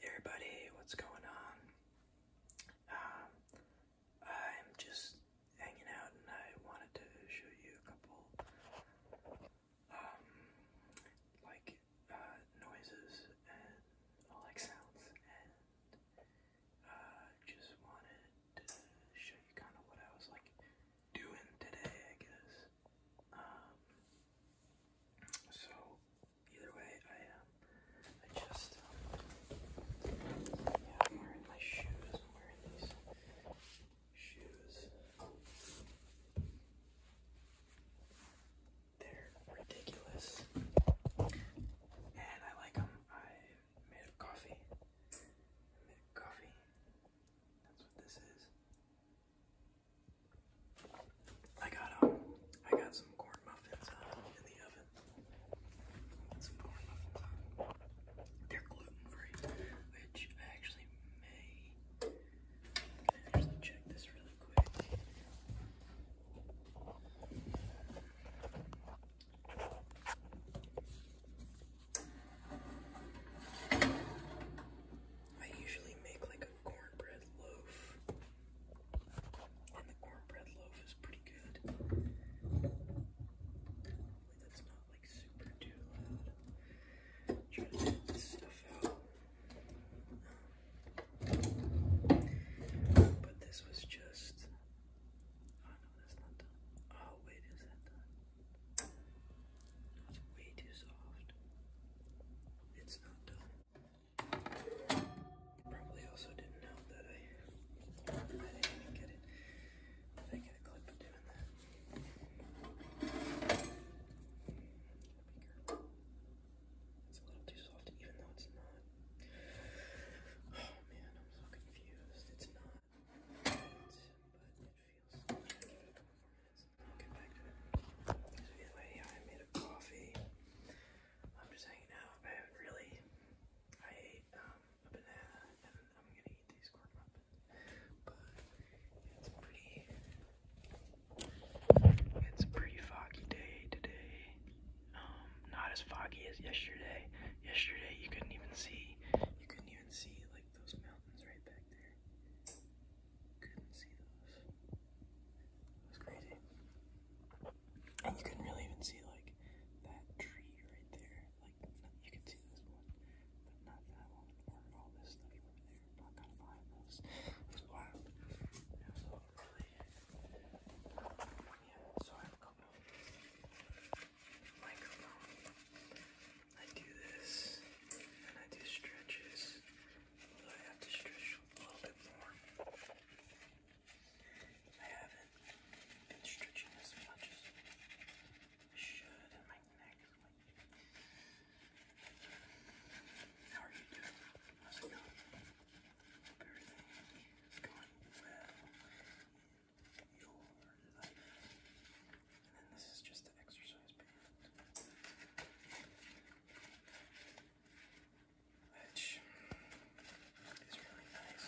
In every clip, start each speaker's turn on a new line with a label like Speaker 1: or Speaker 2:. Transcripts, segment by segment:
Speaker 1: Hey everybody, what's going on? Um, I'm just hanging out and I wanted to show you a couple, um, like, uh, noises and, like sounds, and, uh, just wanted to show you kind of what I was, like, doing today, I guess. Um, so, either way, I um, I just yeah, I'm wearing my shoes. I'm wearing these shoes. They're ridiculous, and I like them. I made coffee. made coffee. That's what this is. I got um, I got some corn muffins uh, in the oven. Uh, they're gluten free, which I actually may. actually check this really quick. I usually make like a cornbread loaf, and the cornbread loaf is pretty good. that's not like super too loud. Try to get this stuff out. Um, but this was just. Oh no, that's not done. Oh wait, is that done? it's way too soft. It's not done. Probably also didn't know that I, didn't even get it. I get a clip of doing that? It's a little too soft, even though it's not. Oh man, I'm so confused. It's not, but it feels anyway, I made a coffee. I'm just hanging out. I haven't really. I ate um, a banana, and I'm gonna eat these corn muffins. But it's pretty. It's a pretty foggy day today. Um, not as foggy as yesterday. Yesterday you couldn't even see. You couldn't even see like those mountains right back there couldn't see those. It was crazy. And you couldn't really even see like that tree right there. Like you can see this one, but not that one, all this stuff over there. Not kind of behind those. It was wild. Yeah. So I have a couple microphone. I do this, and I do stretches, I have to stretch a little bit more. I haven't been stretching as much as I should my neck. How are you doing? How's it going? everything is going well in your life. And then this is just the exercise which is really nice.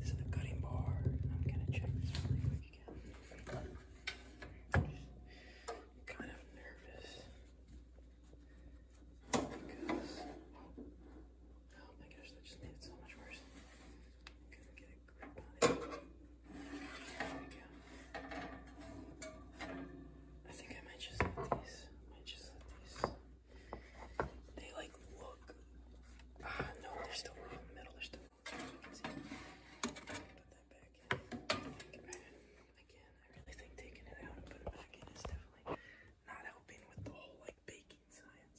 Speaker 1: This is the cutting bar. I'm gonna check this really quick kind of nervous oh my gosh, that just made it so much worse get I think I might just let these. might just let these. They like look. Ah, no, they're still wrong in They're still You Put that back in. again, I really think taking it out and putting it back in is definitely not helping with the whole like baking science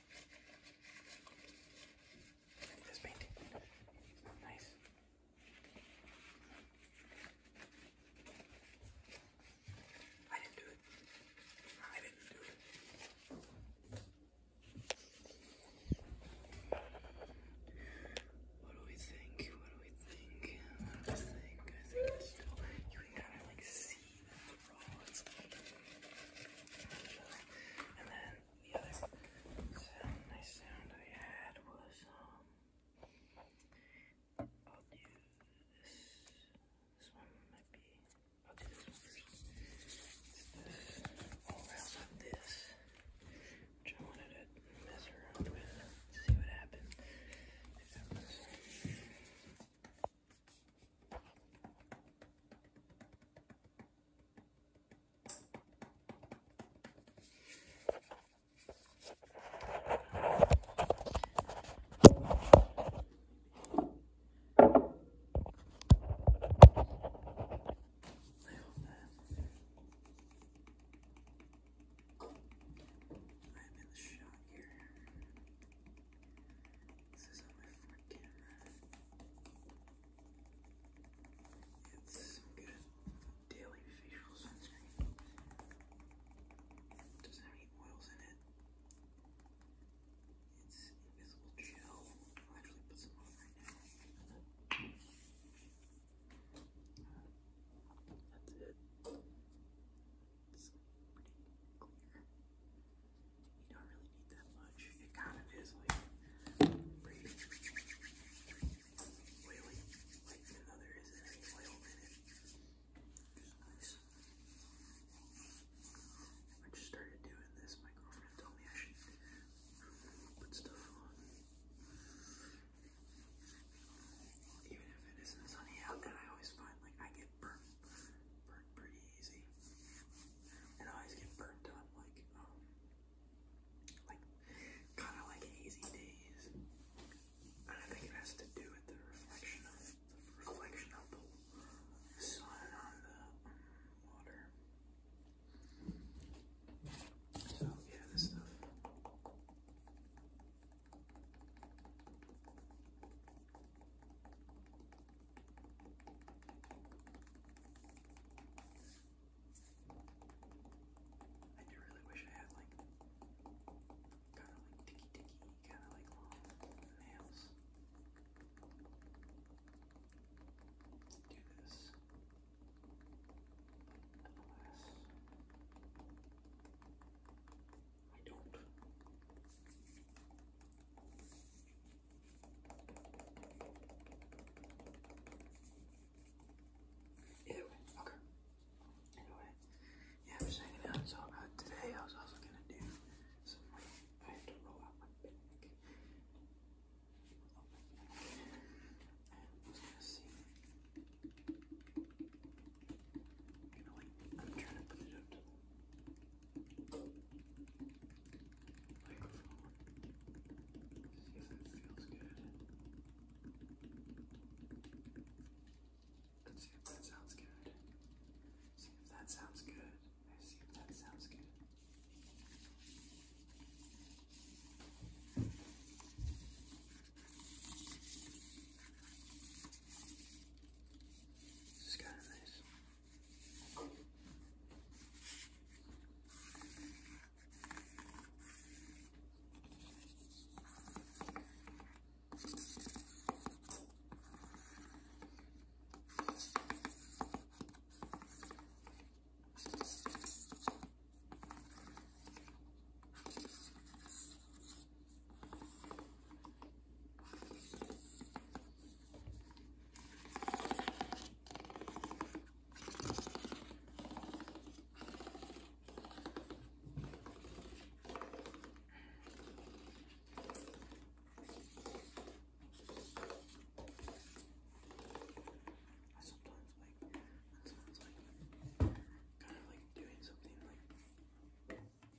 Speaker 1: This painting. Nice. I didn't do it. I didn't do it. What do we think? What do we think? What do we think? you can kind of like see raw and stuff like that. And then the other sound, nice sound I had was, um, I'll do this, this one might be, I'll do this one first. It's this, all around of this, which I wanted to mess around with to see what happened. If that was, I'm in the shot here. This is my front It's good daily facial sunscreen. doesn't have any oils in it. It's invisible gel. I'll actually put some on right now. That's it. It's You don't really need that much. It kind of is like I just started doing this. My girlfriend told me I should put stuff on. Even if it isn't sunny out, and I always find like I get burnt burnt pretty easy. And I always get burnt on like um, like kind of like hazy days. And I think it has to do with the reflection of the reflection of the sun on the um, water. So yeah, this stuff. I do really wish I had like kind of like ticky ticky, kind of like long nails. Do this, I don't. Either okay. Anyway, yeah, I was hanging out. So today I was also gonna do some. I have to roll out my back. I was gonna see. I'm like. I'm trying to put it up to microphone. See if that feels good. Let's see if that sounds good. See if that sounds good. Let's see if that sounds good. This is kind of nice. Sometimes like that sounds like kind of like doing something like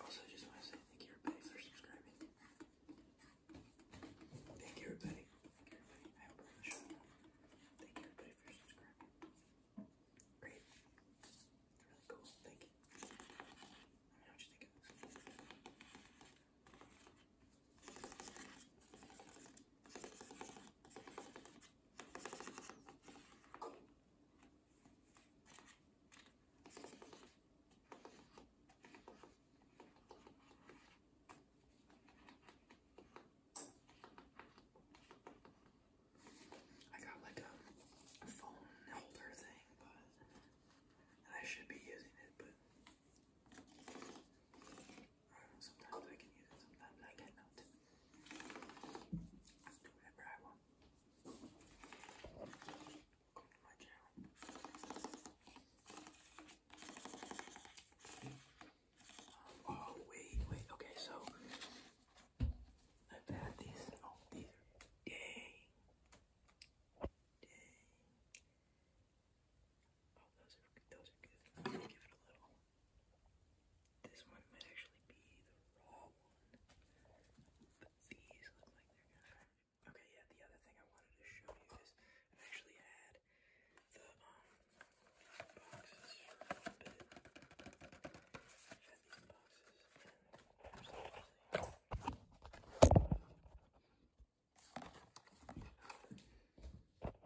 Speaker 1: also, just want to say thank you everybody for subscribing. Thank you everybody. Thank you everybody. for subscribing. Great. Really cool. Thank you. Let me know what you think of this. I got like a phone holder thing, but and I should be using it, but Sometimes I can use it, sometimes I cannot. do whatever I want. oh, wait, wait, okay, so I've had these. Oh, these are. Dang. Oh, those are those are good. give it a little. This one might actually be the raw one, but these look like they're Okay, yeah. The other thing I wanted to show you is i actually had the um, boxes there's actually a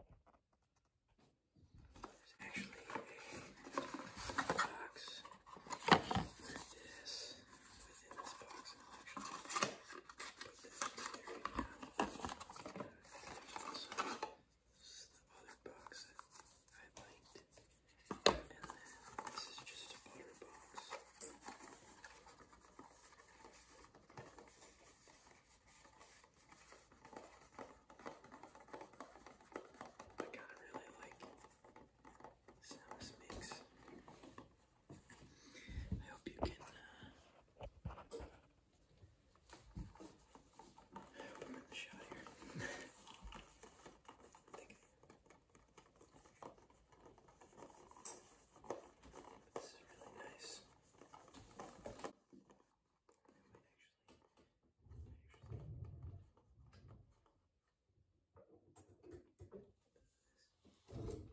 Speaker 1: box with this within this box. I'll actually put this there right now. There's also this the other box that I linked. And then this is just a butter box. I kind of really like Sam's mix. I hope you can. Uh, I hope I'm in the shot here. This is really nice. I might actually, actually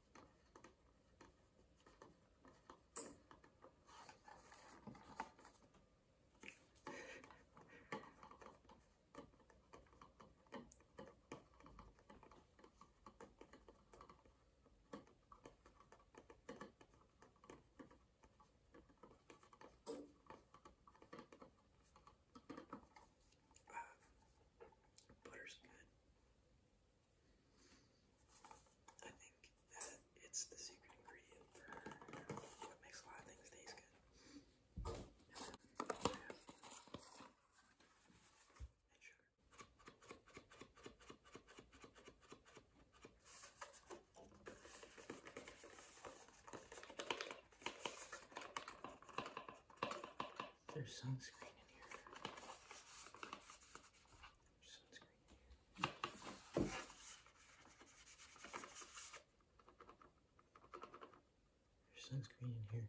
Speaker 1: Uh, butter's good. I think that it's the secret ingredient for what makes a lot of things taste good. There's sunscreen in here sunscreen. There's sunscreen in here.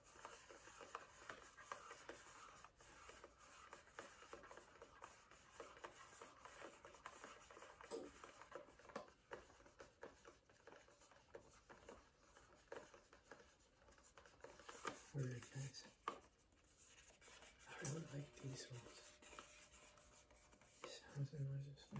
Speaker 1: Very nice. I really like these ones. sounds are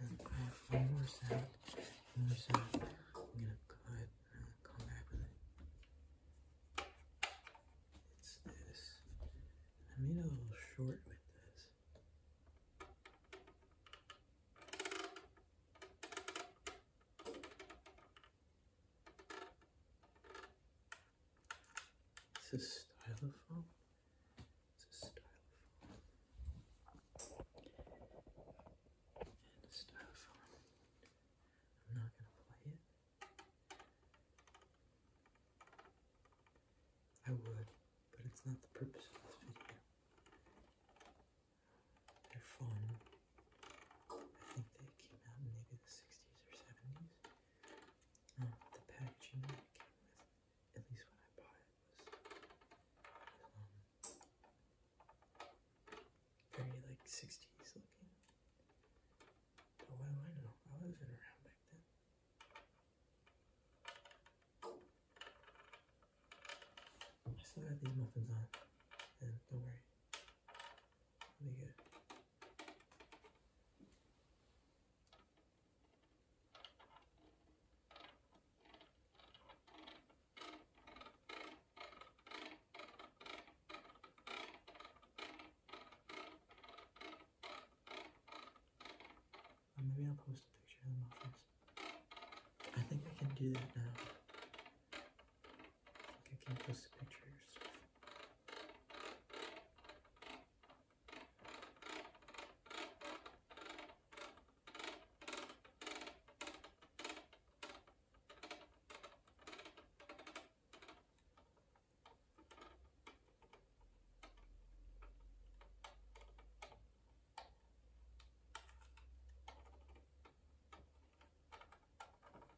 Speaker 1: I'm gonna cut come back with it. It's this. I made a little short with this. It's a stylophone. It's a styrofoam. And a styrofoam. I'm not going to play it. I would, but it's not the purpose of this video. They're fun. I think they came out in maybe the 60s or 70s. the packaging that came with, at least when I bought was um, very like 60s looking. But what do I know? I wasn't around back then. I still got these muffins on, and don't worry, I'll good. Uh, maybe I'll post a picture of the muffins. I think I can do that now. I can not just picture yourself.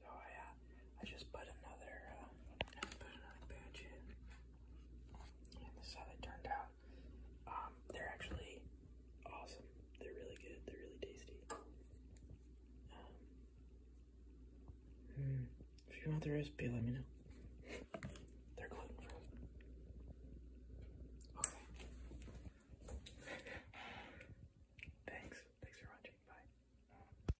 Speaker 1: So I, I just put another, uh, put another batch and this how they turned out. Um, they're actually awesome. They're really good. They're really tasty. Um, hmm. If you want the recipe, let me know. They're gluten free. Okay. Thanks. Thanks for watching. Bye.